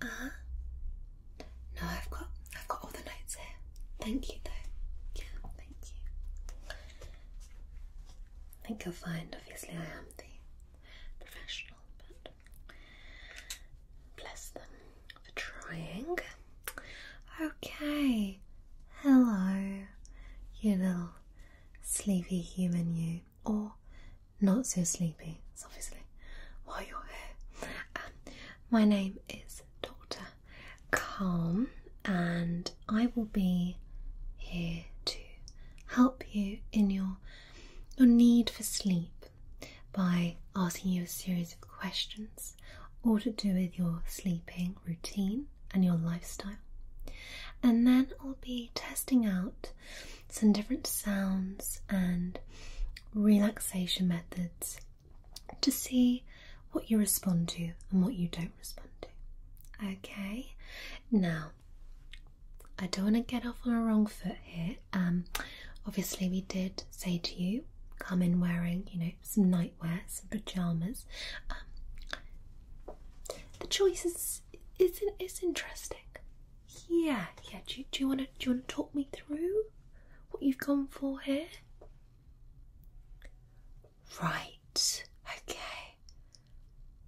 Uh No, I've got I've got all the notes here. Thank you though. Yeah, thank you. I think you'll find obviously I am the professional, but bless them for trying. Okay. Hello, you little sleepy human you or not so sleepy, it's obviously Why you're here. Um, my name is Dr. Calm, and I will be here to help you in your your need for sleep by asking you a series of questions all to do with your sleeping routine and your lifestyle. And then I'll be testing out some different sounds and relaxation methods to see what you respond to and what you don't respond to. Okay, now I don't want to get off on a wrong foot here. Um, obviously, we did say to you come in wearing, you know, some nightwear, some pajamas. Um, the choice is, is, is interesting. Yeah, yeah. Do, you want to do you want to talk me through what you've gone for here? Right. Okay.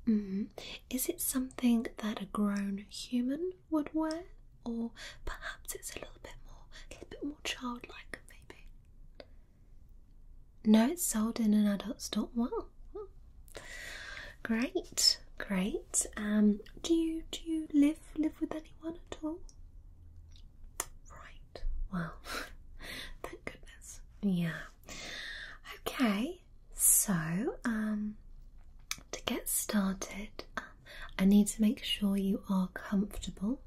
Mm-hmm. Is it something that a grown human would wear, or perhaps it's a little bit more, a little bit more childlike, maybe? No, it's sold in an adult store. Great, great. Um, do you do you live live with anyone at all? Right. Well, thank goodness. Yeah. Okay. So, um, to get started, um, I need to make sure you are comfortable.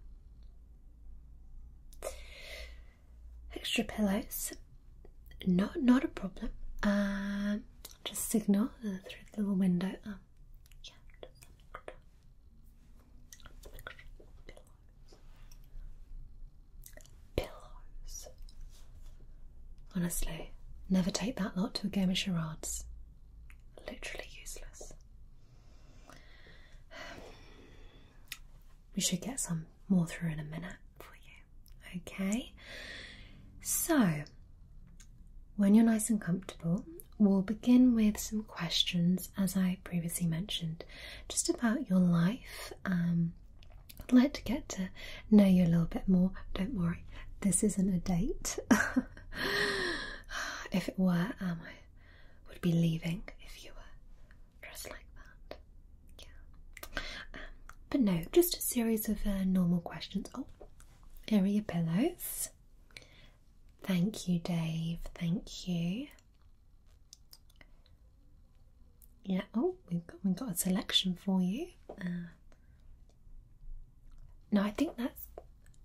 Extra pillows, not not a problem. Um, just signal through the little window. Um, Pillows. Honestly, never take that lot to a game of charades. Literally useless. we should get some more through in a minute for you. Okay. So when you're nice and comfortable, we'll begin with some questions, as I previously mentioned, just about your life. Um, I'd like to get to know you a little bit more. Don't worry, this isn't a date. if it were, um, I would be leaving if you were dressed like that. Yeah. Um, but no, just a series of uh, normal questions. Oh, here are your pillows. Thank you, Dave. Thank you. Yeah, oh, we've got, we've got a selection for you. Uh, no, I think that's,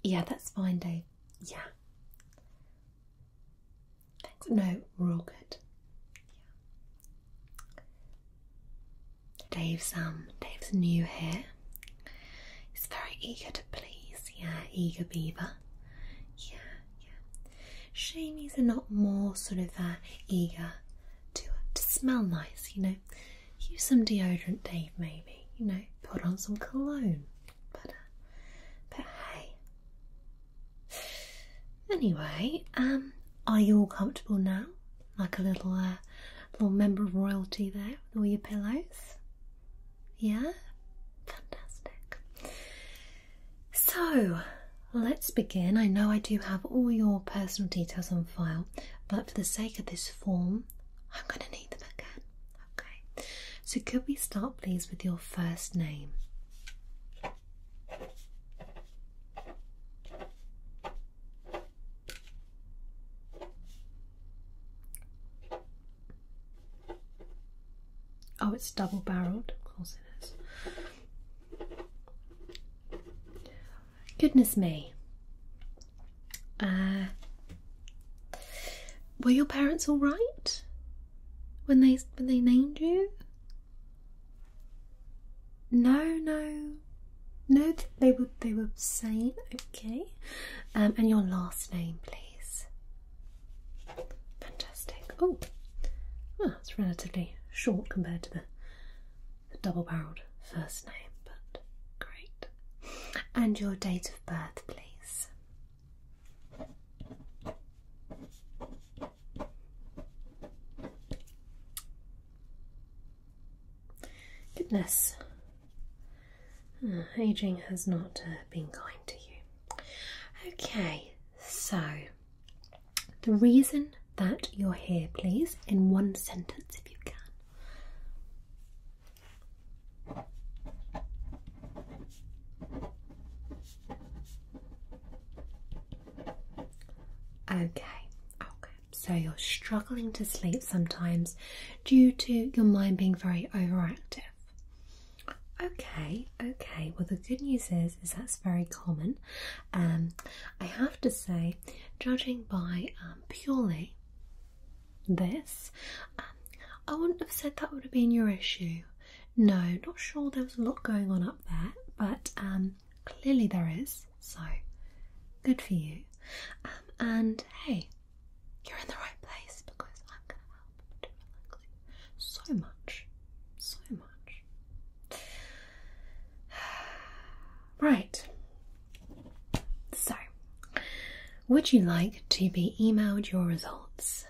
yeah, that's fine, Dave. Yeah. Thanks. No, we're all good. Yeah. Dave's um Dave's new here. He's very eager to please, yeah, eager beaver. Yeah, yeah. Shame he's not more sort of uh, eager to to smell nice, you know. Use some deodorant, Dave, maybe, you know, put on some cologne. But uh, but hey. Anyway, um, are you all comfortable now? like a little uh, little member of royalty there with all your pillows. Yeah, fantastic. So let's begin. I know I do have all your personal details on file, but for the sake of this form, I'm going to need them again. Okay. So could we start, please, with your first name? Oh, it's double barreled, of course it is. Goodness me. Uh, were your parents all right when they when they named you? No, no no, they were they were sane. Okay, um, and your last name, please. Fantastic. Oh, well, it's relatively short compared to the, the double-barreled first name, but great. And your date of birth, please. Goodness, Hmm, aging has not uh, been kind to you. Okay, so the reason that you're here, please, in one sentence if you can. Okay, okay. So you're struggling to sleep sometimes due to your mind being very overactive. Okay, okay. Well, the good news is is that's very common. Um, I have to say, judging by um, purely this, um, I wouldn't have said that would have been your issue. No, not sure there was a lot going on up there, but um, clearly there is so good for you. Um, and hey, you're in the right place because I'm help you so much, so much. Right, so would you like to be emailed your results?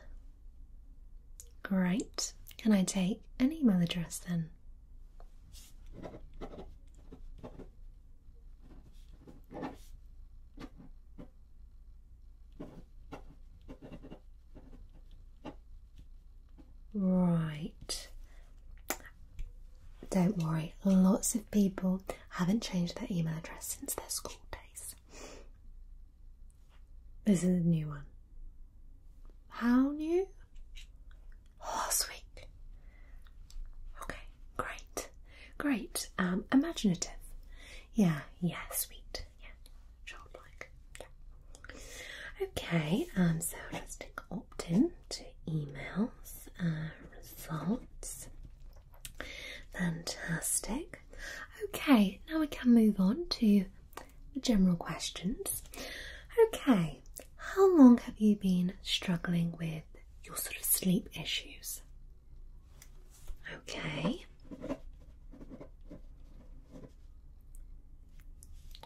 Great. Can I take an email address then? Right. Don't worry, lots of people haven't changed their email address since their school days. This is a new one. How new? Oh sweet. Okay, great, great. Um, imaginative. Yeah, yeah, sweet. Yeah, childlike. Okay, um, so let's take opt in to emails, uh, results. Fantastic. Okay, now we can move on to the general questions. Okay, how long have you been struggling with your sort of sleep issues? Okay.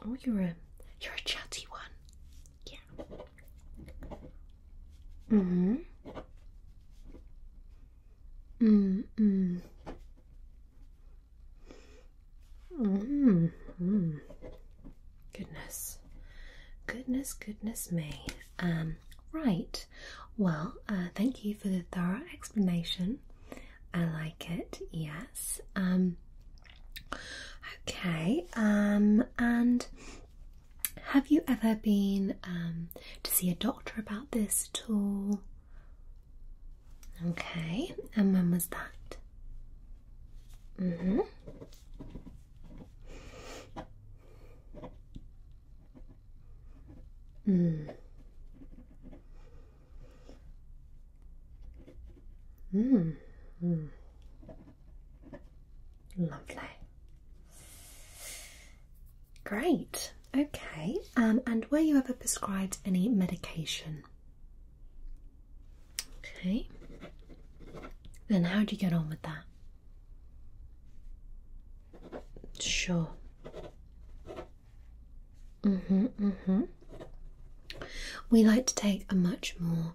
Oh, you're a you're a chatty one. Yeah. Mm-hmm. Mm mm. Mm -hmm. Goodness, goodness, goodness me. Um, right. Well, uh, thank you for the thorough explanation. I like it. Yes. Um, okay. Um, and have you ever been to see a doctor about this at all? Okay. And when was that? Mm-hmm. Mm. Mm. Lovely. Great. Okay. Um, and were you ever prescribed any medication? Okay. Then how do you get on with that? Sure. Mm-hmm, mm-hmm. We like to take a much more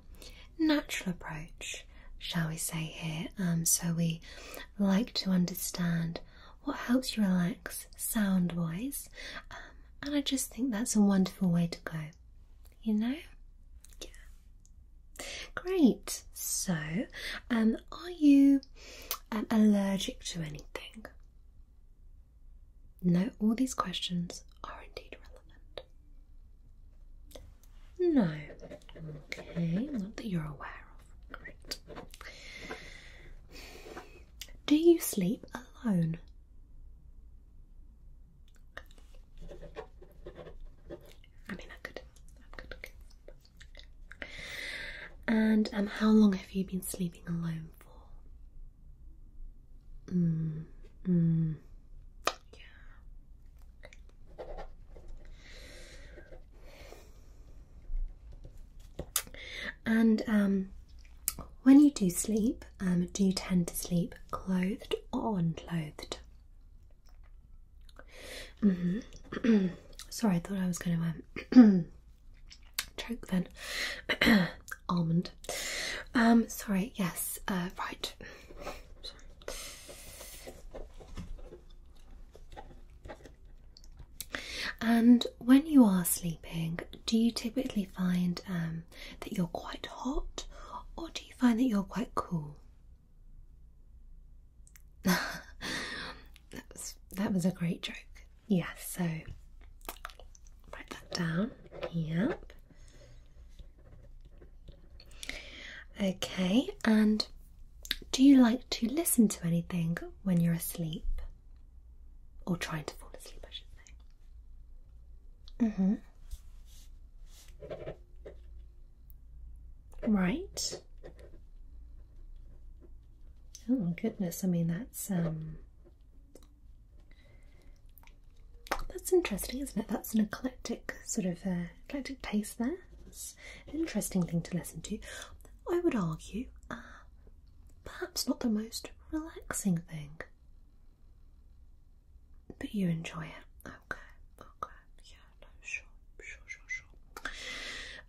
natural approach, shall we say here. Um, so we like to understand what helps you relax sound wise. Um, and I just think that's a wonderful way to go. You know? Yeah. Great. So, um, are you um, allergic to anything? No, all these questions are indeed relevant. No. Okay, not that you're aware of. Great. Do you sleep alone? I mean, I could, I could. Okay. And um, how long have you been sleeping alone for? Mm, mm. yeah. And um, when you do sleep, um, do you tend to sleep clothed or unclothed? Mm-hmm. Sorry, I thought I was gonna um, choke then. Almond. Um, sorry, yes, uh, right. And when you are sleeping, do you typically find um, that you're quite hot, or do you find that you're quite cool? that was that was a great joke. Yes. so write that down. Yep. Okay, and do you like to listen to anything when you're asleep? Or trying to fall asleep, I should say. Mm-hmm. Right. Oh goodness, I mean that's um that's interesting, isn't it? That's an eclectic sort of uh, eclectic taste there. That's an interesting thing to listen to. I would argue, uh, perhaps not the most relaxing thing. But you enjoy it. Okay, okay, yeah, sure, sure, sure, sure.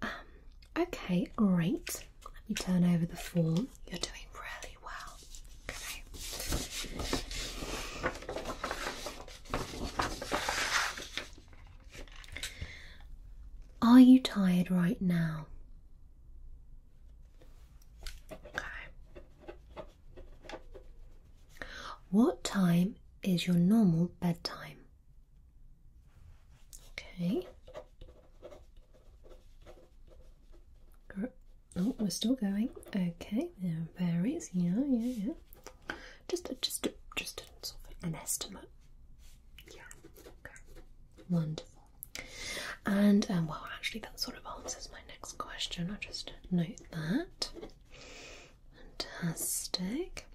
Um, okay, great. Let me turn over the form. You're doing really well. Okay. Are you tired right now? Okay. What time is your normal bedtime? Okay. Oh, we're still going. Okay, there varies. Yeah, yeah, yeah. Just, just, just an estimate. Yeah. Okay. Wonderful. And um, well, actually, that sort of answers my next question. I'll just note that. Fantastic.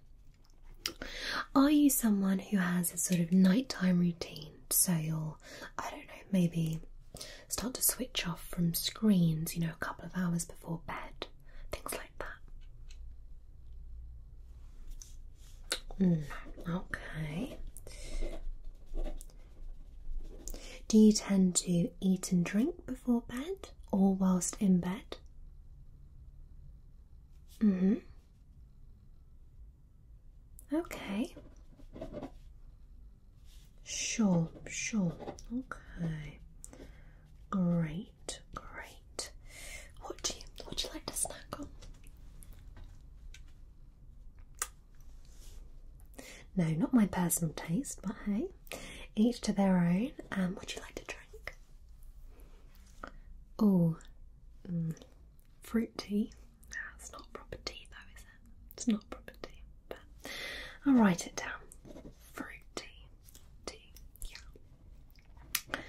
Are you someone who has a sort of nighttime routine? So you'll, I don't know, maybe start to switch off from screens, you know, a couple of hours before bed, things like that. Mm, okay. Do you tend to eat and drink before bed? or whilst in bed? Mm hmm. Okay. Sure, sure. Okay. Great, great. What do you what do you like to snack on? No, not my personal taste, but hey. Each to their own. Um, would you like to drink? Oh, fruit tea. That's no, not proper tea, though, is it? It's not proper tea, but I'll write it down. Fruit tea. Tea. Yeah.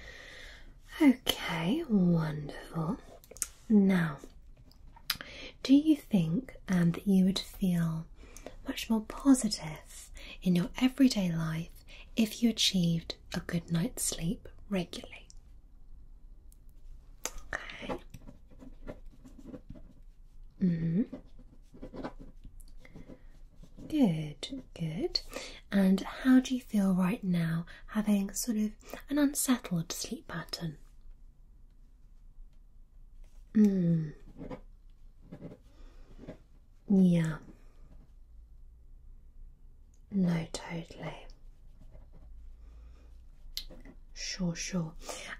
Okay, wonderful. Now, do you think um, that you would feel much more positive in your everyday life if you achieved a good night's sleep regularly. Okay. Mm. Good, good. And how do you feel right now having sort of an unsettled sleep pattern? Mm. Yeah. No, totally. Sure, sure.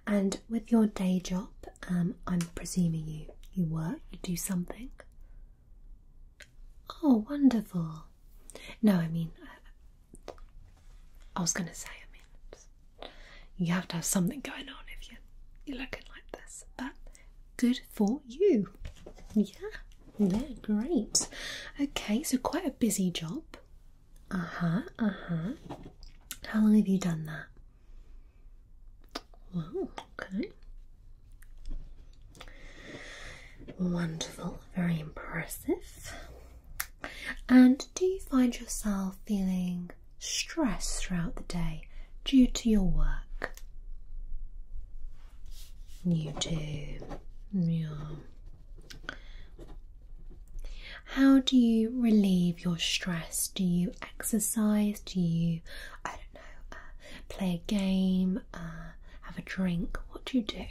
And with your day job, um, I'm presuming you you work, you do something. Oh, wonderful. No, I mean, uh, I, was going to say, I mean, you have to have something going on if you you're looking like this. But good for you. Yeah, yeah, great. Okay, so quite a busy job. Uh huh, uh huh. How long have you done that? Well, okay. Wonderful, very impressive. And do you find yourself feeling stress throughout the day due to your work? You do. Yeah. How do you relieve your stress? Do you exercise? Do you, I don't know, uh, play a game, uh, have a drink? What do you do?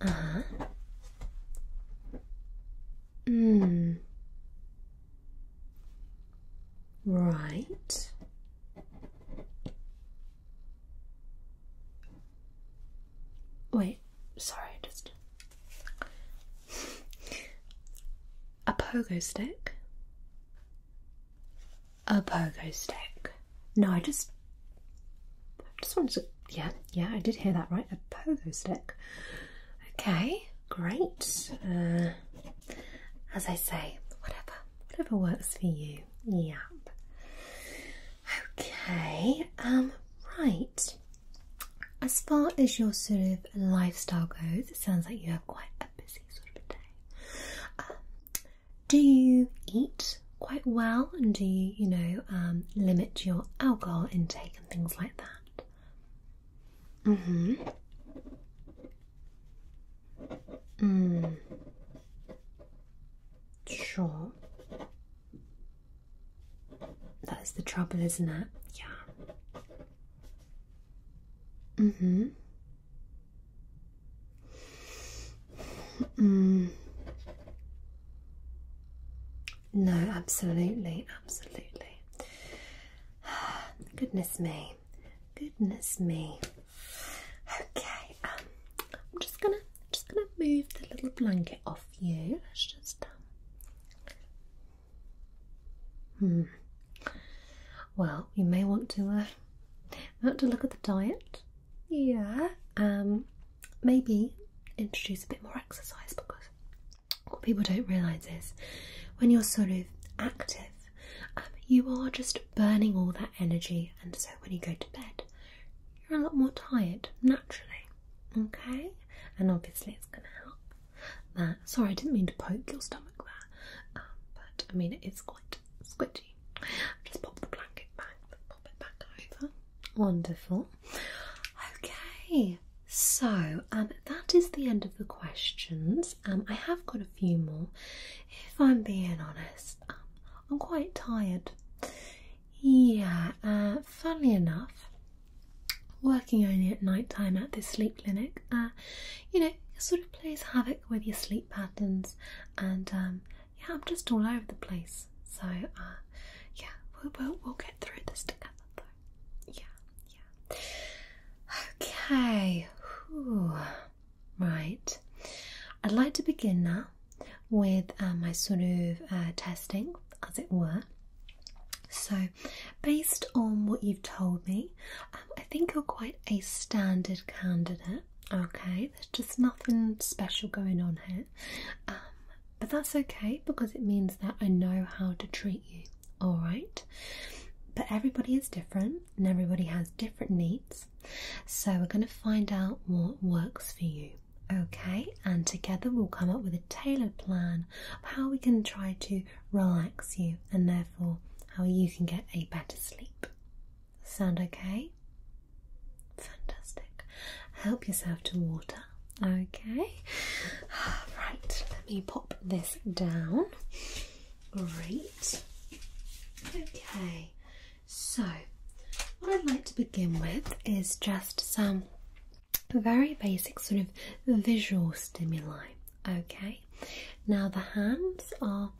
Uh uh-huh. huh. Hmm right wait sorry just a pogo stick a pogo stick no i just I just wanted to yeah yeah i did hear that right a pogo stick Okay, great. Uh, as I say, whatever, whatever works for you. Yep. Okay. Um, right. As far as your sort of lifestyle goes, it sounds like you have quite a busy sort of day. Um, do you eat quite well, and do you, you know, um, limit your alcohol intake and things like that? Mm-hmm. Mm. Sure. That's the trouble, isn't it? Yeah. Mm-hmm. Mm. No, absolutely, absolutely. Goodness me, goodness me. Okay, um, I'm just gonna, just gonna move the little blanket off you. Let's just, um, hmm. Well, you may want to, uh, want to look at the diet. Yeah. Um, maybe introduce a bit more exercise because what people don't realise is when you're sort of active, um, you are just burning all that energy, and so when you go to bed, you're a lot more tired naturally, okay? And obviously, it's going to help that. Sorry, I didn't mean to poke your stomach there, um, but I mean, it is quite squidgy. Just pop the blanket back, pop it back over. Wonderful. Okay, so, um, that is the end of the questions. Um, I have got a few more. If I'm being honest, um, I'm quite tired. Yeah, uh, funnily enough, working only at night time at this sleep clinic, uh, you know, it sort of plays havoc with your sleep patterns, and yeah, I'm just all over the place. So, uh, yeah, we'll, get through this together yeah, yeah. Okay, right. I'd like to begin now with uh, my sort of uh, testing, as it were. So, based on what you've told me, um, I think you're quite a standard candidate. Okay, there's just nothing special going on here. Um, but that's okay because it means that I know how to treat you all right? But everybody is different and everybody has different needs. So we're going to find out what works for you, okay? And together we'll come up with a tailored plan of how we can try to relax you and therefore how you can get a better sleep. Sound okay? Fantastic. Help yourself to water. Okay. Right, let me pour this down. Great. Okay, so what I'd like to begin with is just some very basic sort of visual stimuli. Okay, now the hands are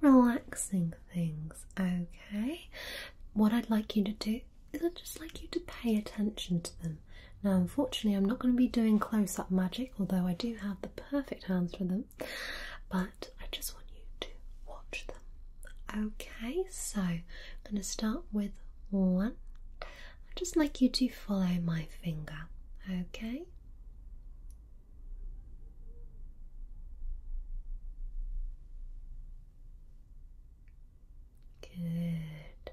very relaxing things. Okay, what I'd like you to do is I'd just like you to pay attention to them now, unfortunately, I'm not going to be doing close up magic, although I do have the perfect hands for them, but I just want you to watch them. Okay, so I'm going to start with one. I'd just like you to follow my finger, okay? Good.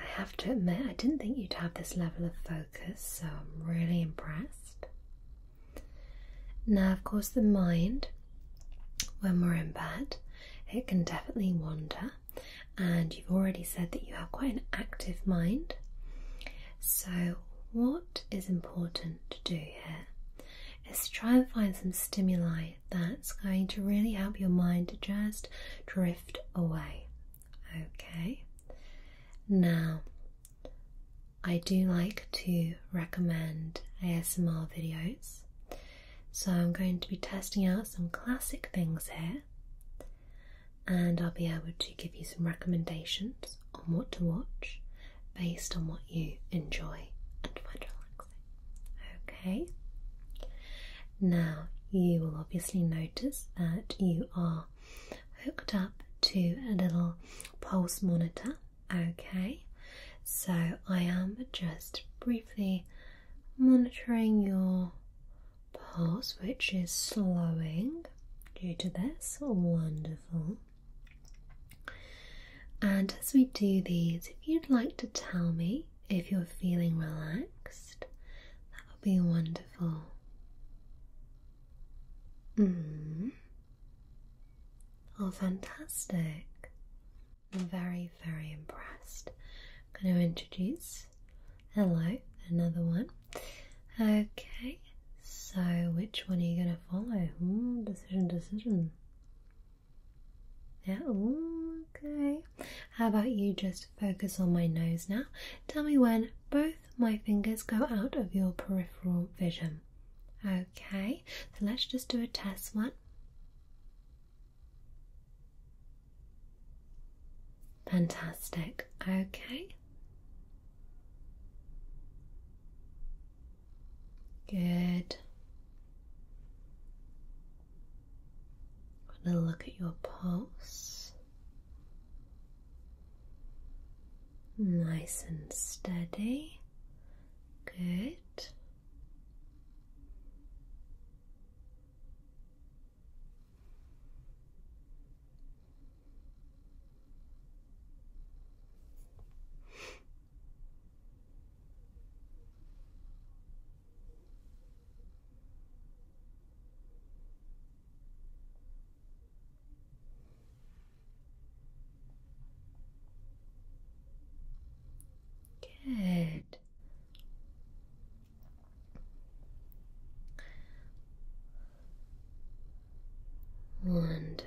I have to admit, I didn't think you'd have this level of focus, so I'm really impressed. Now, of course, the mind, when we're in bed, it can definitely wander, and you've already said that you have quite an active mind. So, what is important to do here is try and find some stimuli that's going to really help your mind just drift away. Okay, now I do like to recommend ASMR videos, so I'm going to be testing out some classic things here, and I'll be able to give you some recommendations on what to watch based on what you enjoy and find relaxing. Okay. Now you will obviously notice that you are hooked up to a little pulse monitor. Okay. So I am just briefly monitoring your pulse, which is slowing due to this. Wonderful. And as we do these, if you'd like to tell me if you're feeling relaxed, that would be wonderful. Mm-hmm. Oh, fantastic. I'm very, very impressed. I'm going to introduce. Hello, another one. Okay, so which one are you going to follow? Ooh, hmm, decision, decision. Yeah, okay. How about you just focus on my nose now. Tell me when both my fingers go out of your peripheral vision. Okay, so let's just do a test one. Fantastic. Okay. Good. I'm going to look at your pulse. Nice and steady. Good. Good. Wonderful.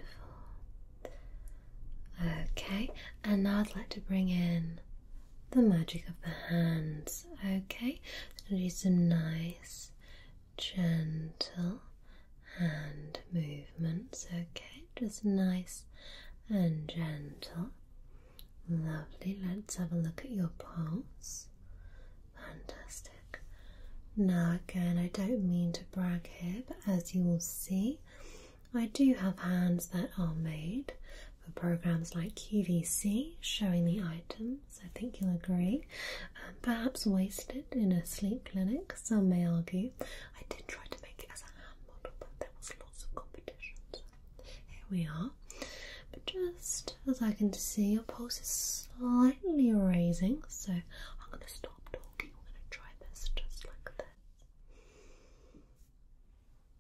Okay, and now I'd like to bring in the magic of the hands. Okay, do some nice, gentle hand movements. Okay, just nice and gentle. Lovely. Let's have a look at your pulse. Fantastic. Now, again, I don't mean to brag here, but as you will see, I do have hands that are made for programs like QVC showing the items. I think you'll agree. Um, perhaps wasted in a sleep clinic, some may argue. I did try to make it as a hand model, but there was lots of competition. here we are. But just as I can see, your pulse is slightly raising, so I'm going to stop talking. I'm going to try this just like this.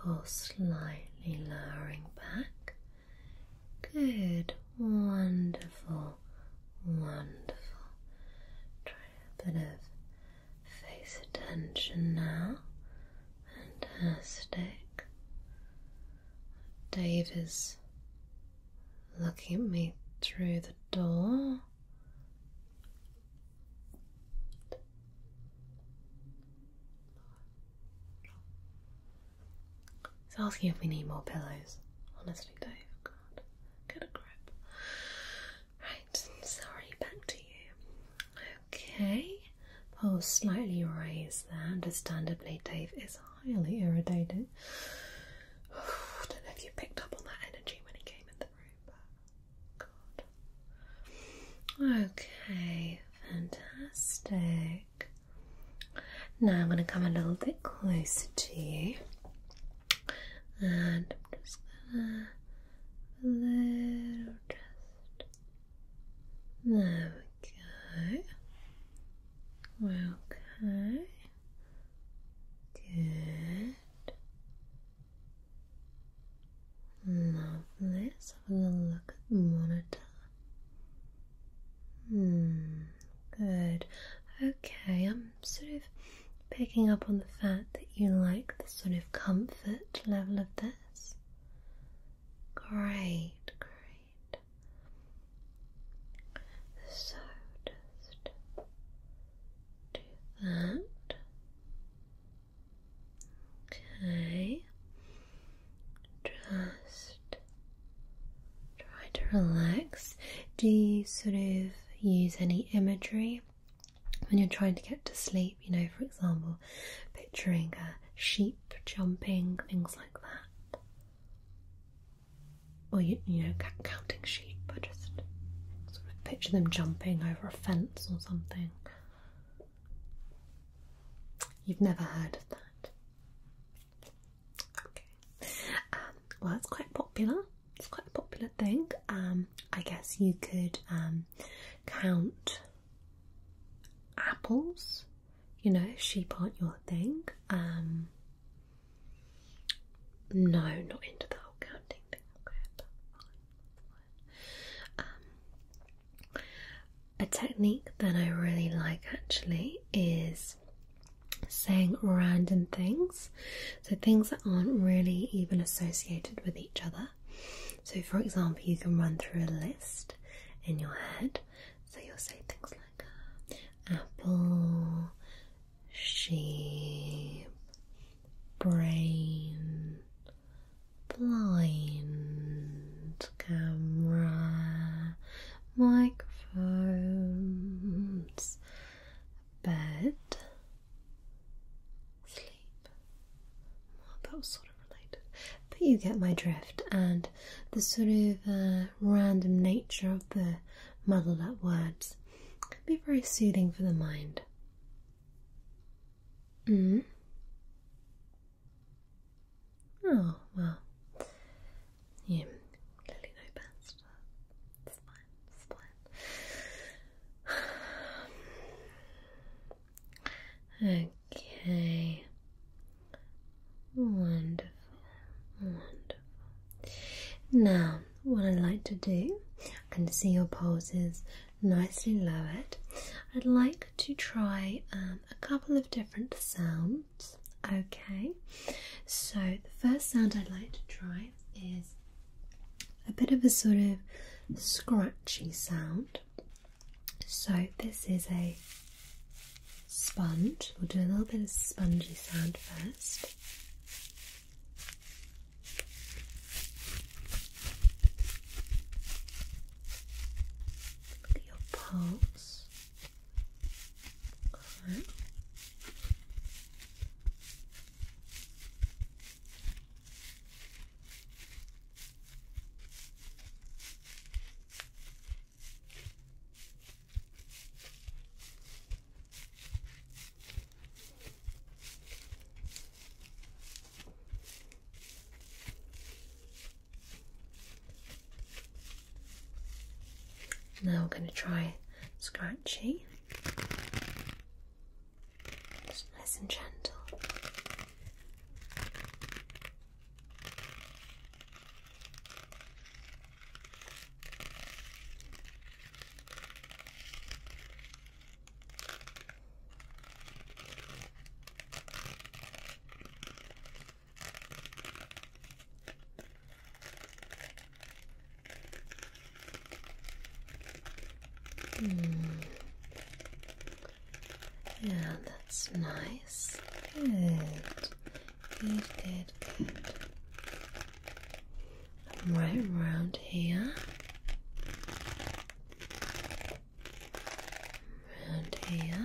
Pulse slightly lowering back. Good, wonderful, wonderful. Try a bit of face attention now. Fantastic. Dave is looking at me through the door. He's asking if we need more pillows. Honestly, Dave, got get a grip. Right, sorry, back to you. Okay, pulse slightly raised there. Understandably, Dave is highly irritated. don't know if you picked up on that energy when he came in the room, but Okay, fantastic. Now I'm going to come a little bit closer to you, and I'm just going to little just there we go. Okay. Good. Lovely. Let's have a little look at the monitor. Hmm. Good. Okay, I'm sort of picking up on the fact that you like the sort of comfort level of this. Great, great. So just do that. Okay. Just try to relax. Do you sort of use any imagery when you're trying to get to sleep, you know, for example, picturing a sheep jumping, things like that. Or, you, know, counting sheep, I just sort of picture them jumping over a fence or something. You've never heard of that. Okay. Um, well, it's quite popular. It's quite a popular thing. Um, I guess you could um, count apples, you know, sheep aren't your thing. Um, no, not into the whole counting thing. Um, a technique that I really like actually is saying random things, so things that aren't really even associated with each other. So, for example, you can run through a list in your head. So, you'll say things like uh, apple, sheep, brain, blind, camera, microphones, bed, that was sort of related. But you get my drift, and the sort of uh, random nature of the muddled up words can be very soothing for the mind. Mm. Oh, well. You clearly know best. It's fine, it's fine. Okay. Wonderful. Wonderful. Now, what I'd like to do, and see your pulse is nicely lowered. I'd like to try um, a couple of different sounds. Okay. So, the first sound I'd like to try is a bit of a sort of scratchy sound. So this is a sponge. We'll do a little bit of spongy sound first. Look at your pulse. Now we're going to try scratchy. Just nice and gentle. Hmm. Yeah, that's nice. Good. Good, good, good. right around here. Around here.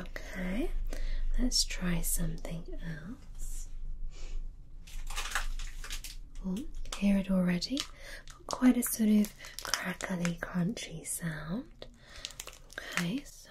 Okay, let's try something else hear it already. quite a sort of crackly, crunchy sound. Okay, so.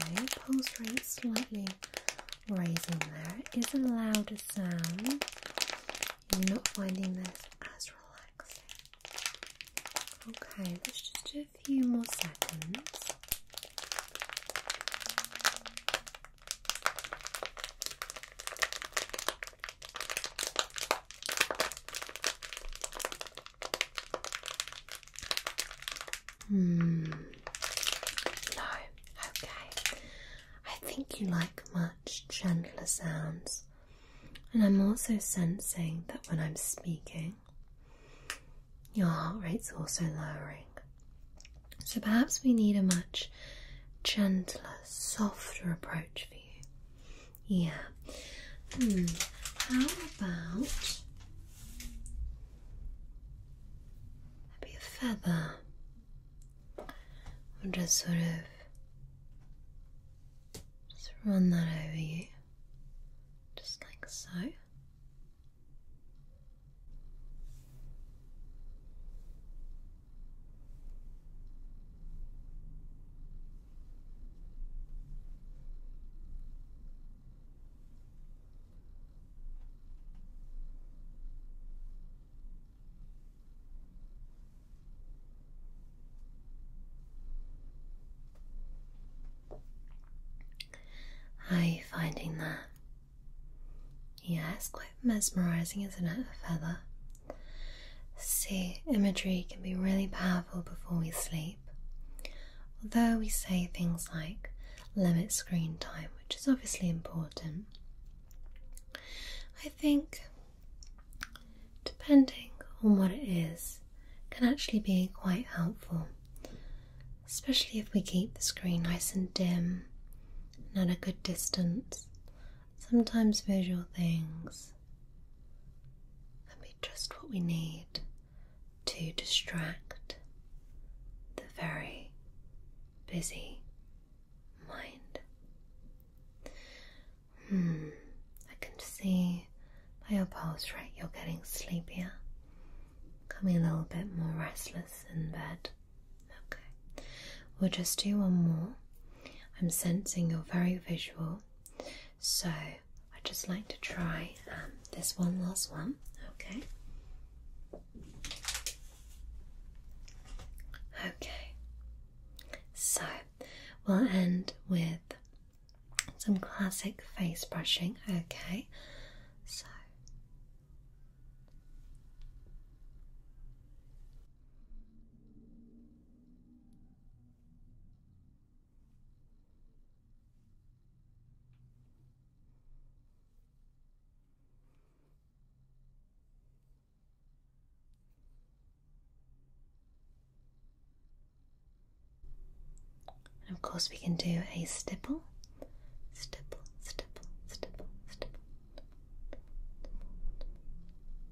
Okay, pulse rate slightly raising There is a louder sound. You're not finding this as relaxing. Okay, let's just do a few more seconds. Hmm. No. Okay. I think you like much gentler sounds. And I'm also sensing that when I'm speaking, your heart rate's also lowering. So perhaps we need a much gentler, softer approach yeah. Hmm. How about maybe a feather? Or just sort of just run that over you. Just like so are you finding that? Yeah, it's quite mesmerising, isn't it? A See, imagery can be really powerful before we sleep. Although we say things like limit screen time, which is obviously important, I think depending on what it is, can actually be quite helpful, especially if we keep the screen nice and dim and at a good distance. Sometimes visual things can be just what we need to distract the very busy mind. Hmm, I can see by your Right, you're getting sleepier, becoming a little bit more restless in bed. Okay, we'll just do one more. I'm sensing you're very visual, so I'd just like to try um, this one last one, okay? Okay, so we'll end with some classic face brushing, okay? So and of course, we can do a stipple, stipple, stipple, stipple, stipple.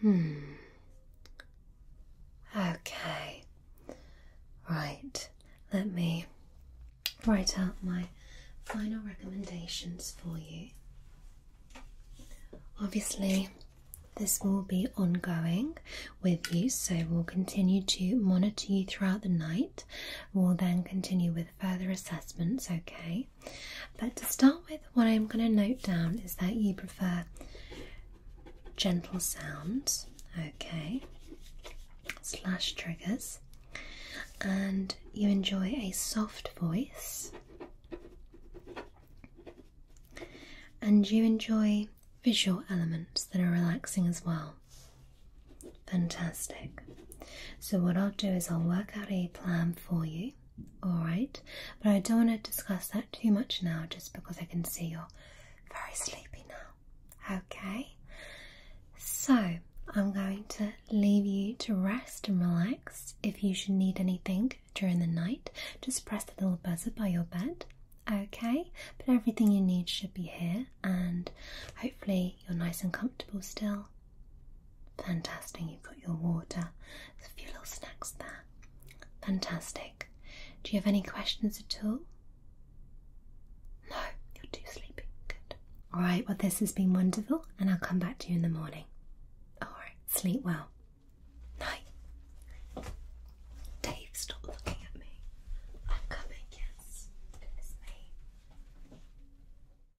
Hmm. Okay. Right. Let me write out my final recommendations for you. Obviously, this will be ongoing with you, so we'll continue to monitor you throughout the night. We'll then continue with further assessments, okay? But to start with, what I'm going to note down is that you prefer gentle sounds, okay, slash triggers, and you enjoy a soft voice, and you enjoy visual elements that are relaxing as well. Fantastic. So, what I'll do is I'll work out a plan for you, alright? But I don't want to discuss that too much now just because I can see you're very sleepy now, okay? So, I'm going to leave you to rest and relax. If you should need anything during the night, just press the little buzzer by your bed. Okay, but everything you need should be here, and hopefully, you're nice and comfortable still. Fantastic, you've got your water. There's a few little snacks there. Fantastic. Do you have any questions at all? No, you're too sleepy. Good. Alright, well, this has been wonderful, and I'll come back to you in the morning. Alright, sleep well. Night. Dave, stop looking at me. I'm coming, yes. Goodness me.